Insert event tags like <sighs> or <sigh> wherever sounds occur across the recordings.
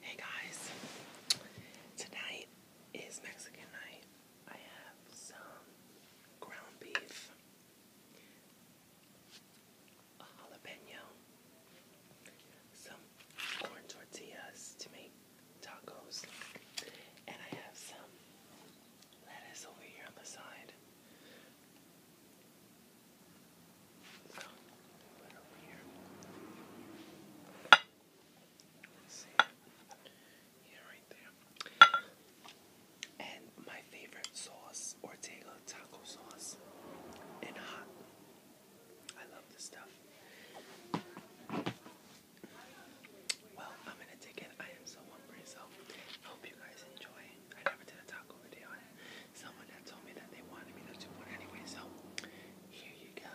Hey guys, tonight is Mexican night. I have some ground beef, a jalapeno, some corn tortillas to make tacos, and I have some lettuce over here on the side. Yeah, right there. And my favorite sauce, Ortega taco sauce, and hot. I love this stuff. Well, I'm gonna take it. I am so hungry, so hope you guys enjoy. I never did a taco video someone that told me that they wanted me to do one anyway, so here you go.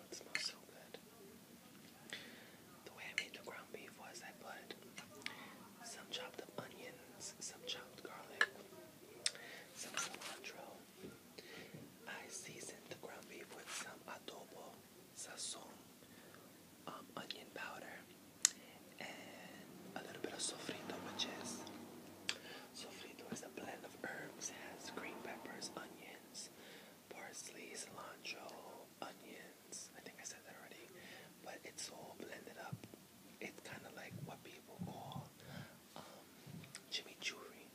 Oh, it so good. The way I made the ground beef was I put some chopped onions, some chopped garlic, some cilantro. I seasoned the ground beef with some adobo, sazon, um, onion powder, and a little bit of sofrito, which is sofrito is a blend of herbs. It has green peppers, onions, parsley, cilantro, onions. I think I said that already, but it's all blended up. It's kind of like what people call um, chimichurri.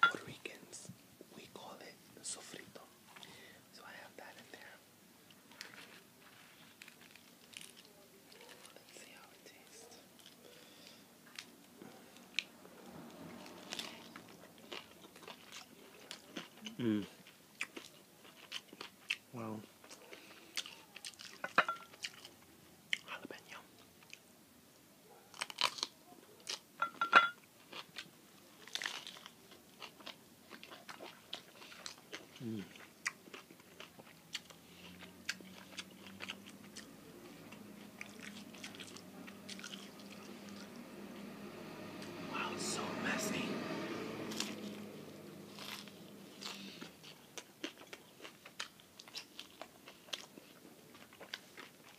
Puerto Ricans, we call it sofrito. So I have that in there. Let's see how it tastes. Mm. Well, jalapeno. Mm. Wow, it's so messy.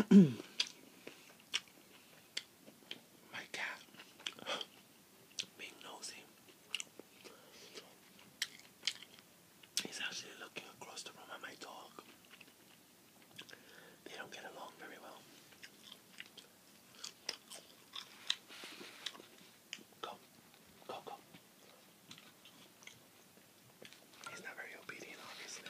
My cat <gasps> being nosy. He's actually looking across the room at my dog. They don't get along very well. Go, go, go obviously.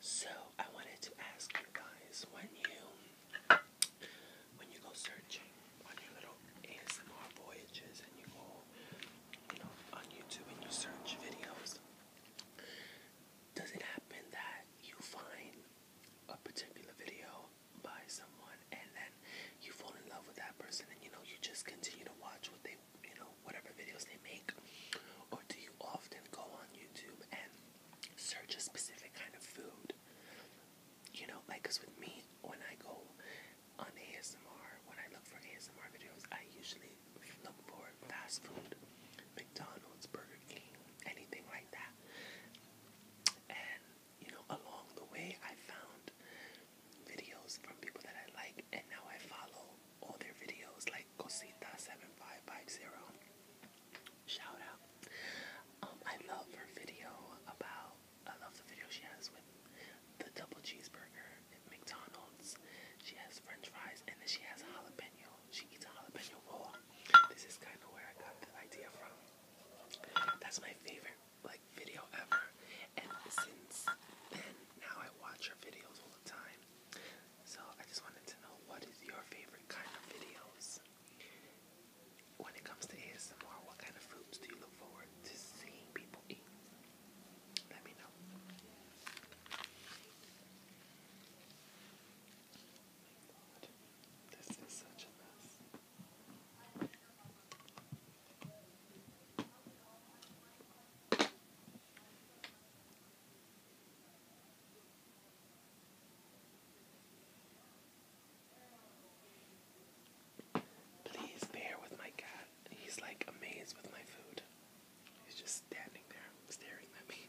So, I wanted to ask you guys when you when you go searching on your little ASMR voyages and you go, you know, on YouTube and you search videos, does it happen that you find a particular video by someone and then you fall in love with that person and you know you just continue to watch what they you know whatever videos they make or do you often go on YouTube and search a specific kind of food you know, like, cause with me, when I go on ASMR, when I look for ASMR videos, I usually look for fast food, McDonald's, Burger King, anything like that. And, you know, along the way, I found videos from people that I like, and now I follow all their videos, like Cosita7550. Shout out. Um, I love her video about, I love the video she has with the double cheeseburger at McDonald's. She has french fries and then she has jalapeno. She eats a jalapeno roll. This is kind of where I got the idea from. That's my favorite, like, video ever. And since then, now I watch her videos all the time. So I just wanted to know what is your favorite kind of videos? When it comes to ASMR, what kind of foods do you look forward to seeing people eat? Let me know. this is such a mess. Please bear with my cat. He's like amazed with my food. He's just standing there staring at me.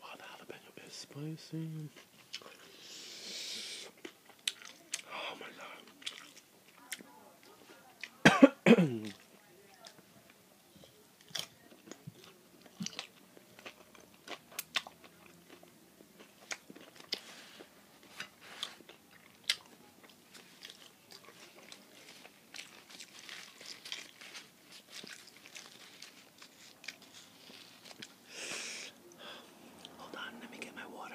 Wow, the jalapeno is spicy. Oh my god. Hold on, let me get my water.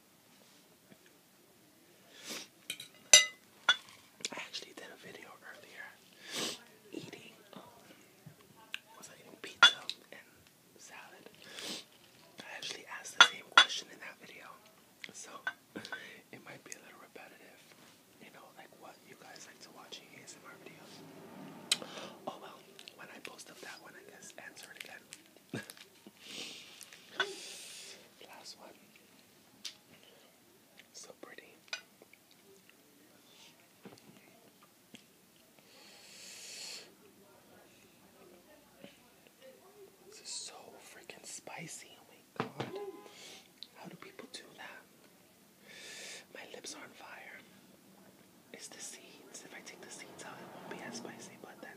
I actually did a video earlier eating, um, was I eating pizza and salad? I actually asked the same question in that video, so it might be a little repetitive, you know, like what you guys like to watch in ASMR videos. Oh well, when I post up that one, I guess answer it again. Last one. So pretty. This is so freaking spicy. Oh my god. How do people do that? My lips are on fire. It's the seeds. If I take the seeds out, it won't be as spicy, but then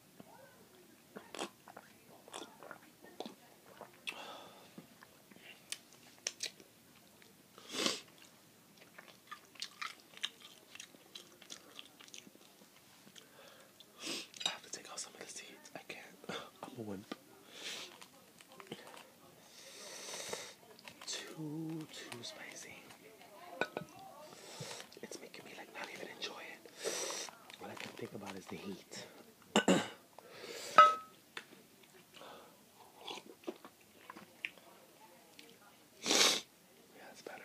I have to take out some of the seeds. I can't. <sighs> I'm a wimp. Too, too spicy it's making me like not even enjoy it. All I can think about is the heat. yeah, that's better.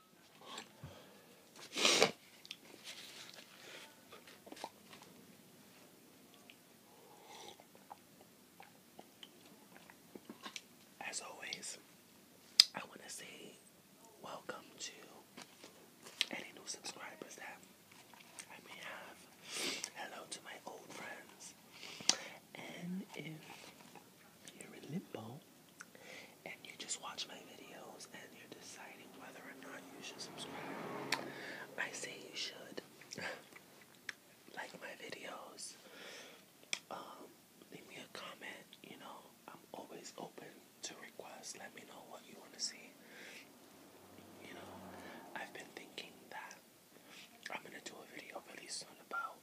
As always, I want to say welcome to any new subscribers that I may have. Hello to my old friends. And if you're in limbo, and you just watch my videos and you're deciding whether or not you should subscribe, I say you should. <laughs> like my videos. Um, leave me a comment. You know, I'm always open to requests. Let me know what you want to see. You know, I've been thinking that I'm gonna do a video really soon about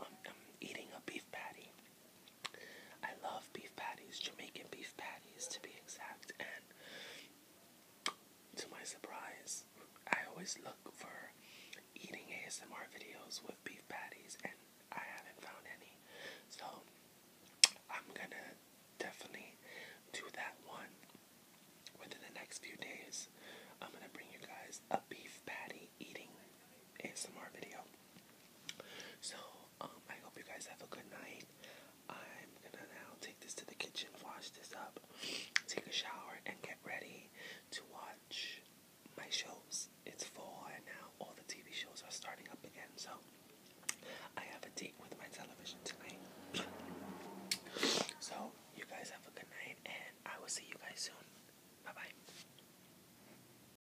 um, um, eating a beef patty. I love beef patties, Jamaican beef patties to be exact. And to my surprise, I always look for eating ASMR videos with beef patties, and I haven't found any. So I'm gonna definitely do that one within the next few days. I'm gonna bring you guys a beef patty eating ASMR video. So um, I hope you guys have a good night. I'm gonna now take this to the kitchen, wash this up, take a shower, and get ready to watch my shows. It's fall, and now all the TV shows are starting up again, so I have a date with my television tonight. so, you guys have a good night, and I will see you guys soon. Bye bye.